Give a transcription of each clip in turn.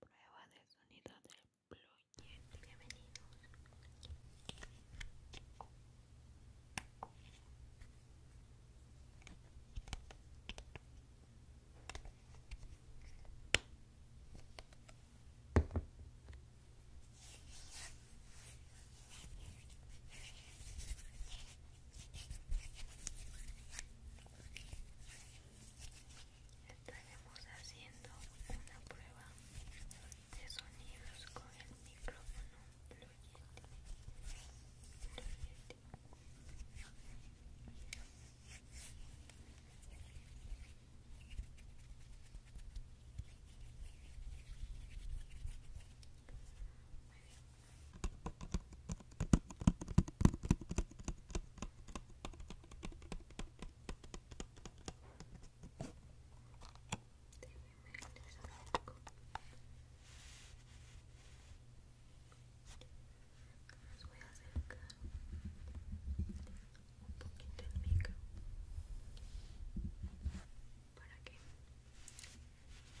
Prueba de sonido del Blue Yeti. Bienvenidos estaremos haciendo una prueba de sonidos con el micrófono Blue te voy a acercar un poquito el micro para que para que tenga el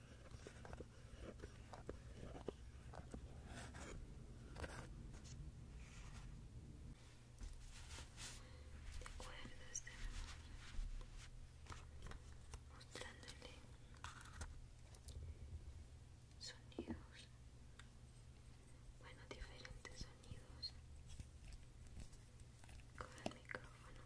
¿Te este mostrándole sonidos? Bueno, diferentes sonidos con el micrófono.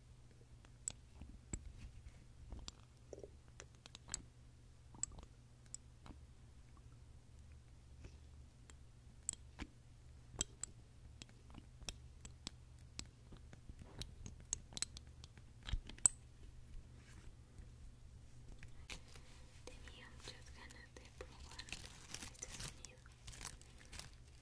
Tenía muchas ganas de probar este sonido.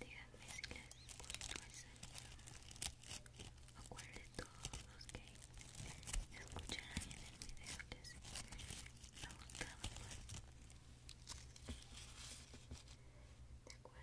Díganme si les gustó ese sonido o de todos los que escucharon en el video les ha gustado más. De acuerdo, voy a estar aquí. Listo, muy bien. El siguiente será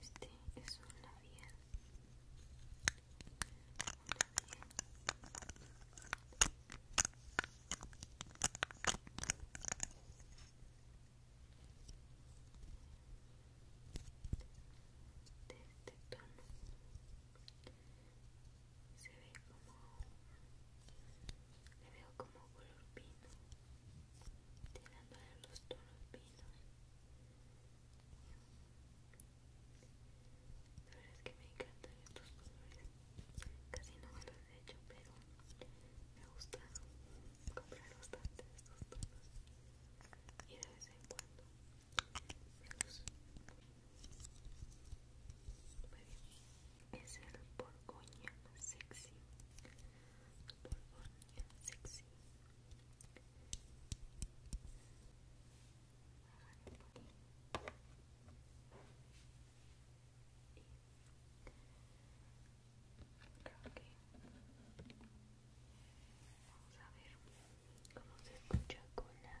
Este es un labial. De este tono se ve como le veo como color pino tirando los tonos pino. la verdad es que me encantan estos colores casi no me los he hecho pero me gusta comprar bastante de estos tonos y de vez en cuando es el Borgoña Sexy. Borgoña Sexy. vamos a ver cómo se escucha con la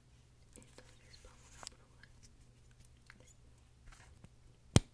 entonces vamos a probar Así es el trazo que deja este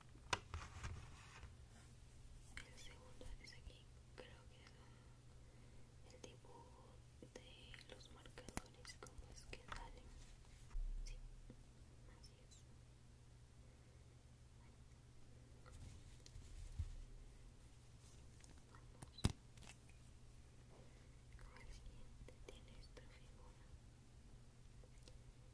El segundo es aquí, creo que es el, tipo dibujo de los marcadores, como es que salen. Sí, así es. Vamos. Con el siguiente tiene esta figura.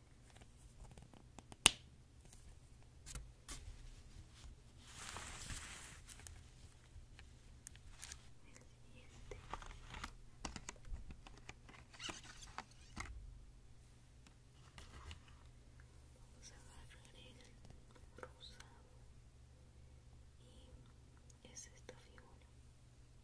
Vamos a agarrar el rosado y es esta figura.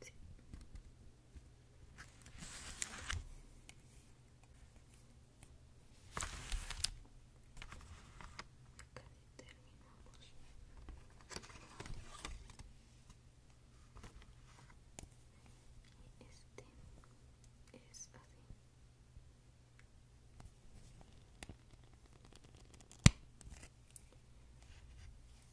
Sí. Casi terminamos. Este es así.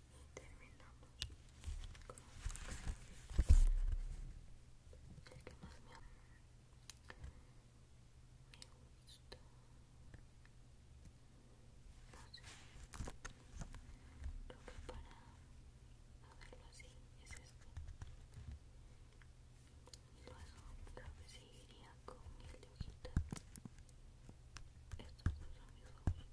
y terminamos con el que más me, gusta no sé creo que para hacerlo así es este y luego creo que seguiría con el de hojita, estos dos son mis favoritos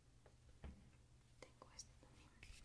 Tengo este también. chocolate.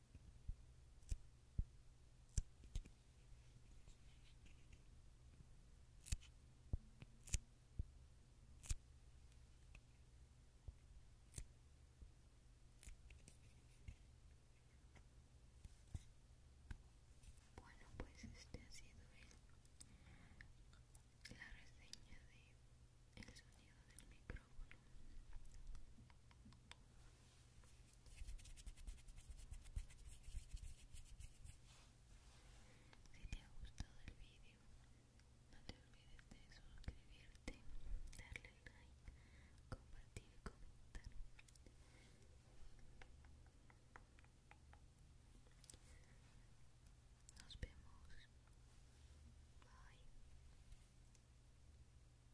Bueno, pues este ha sido el, la reseña de el sonido del micrófono. Si te ha gustado el vídeo, no te olvides de suscribirte, darle like, compartir y comentar. Nos vemos. Bye.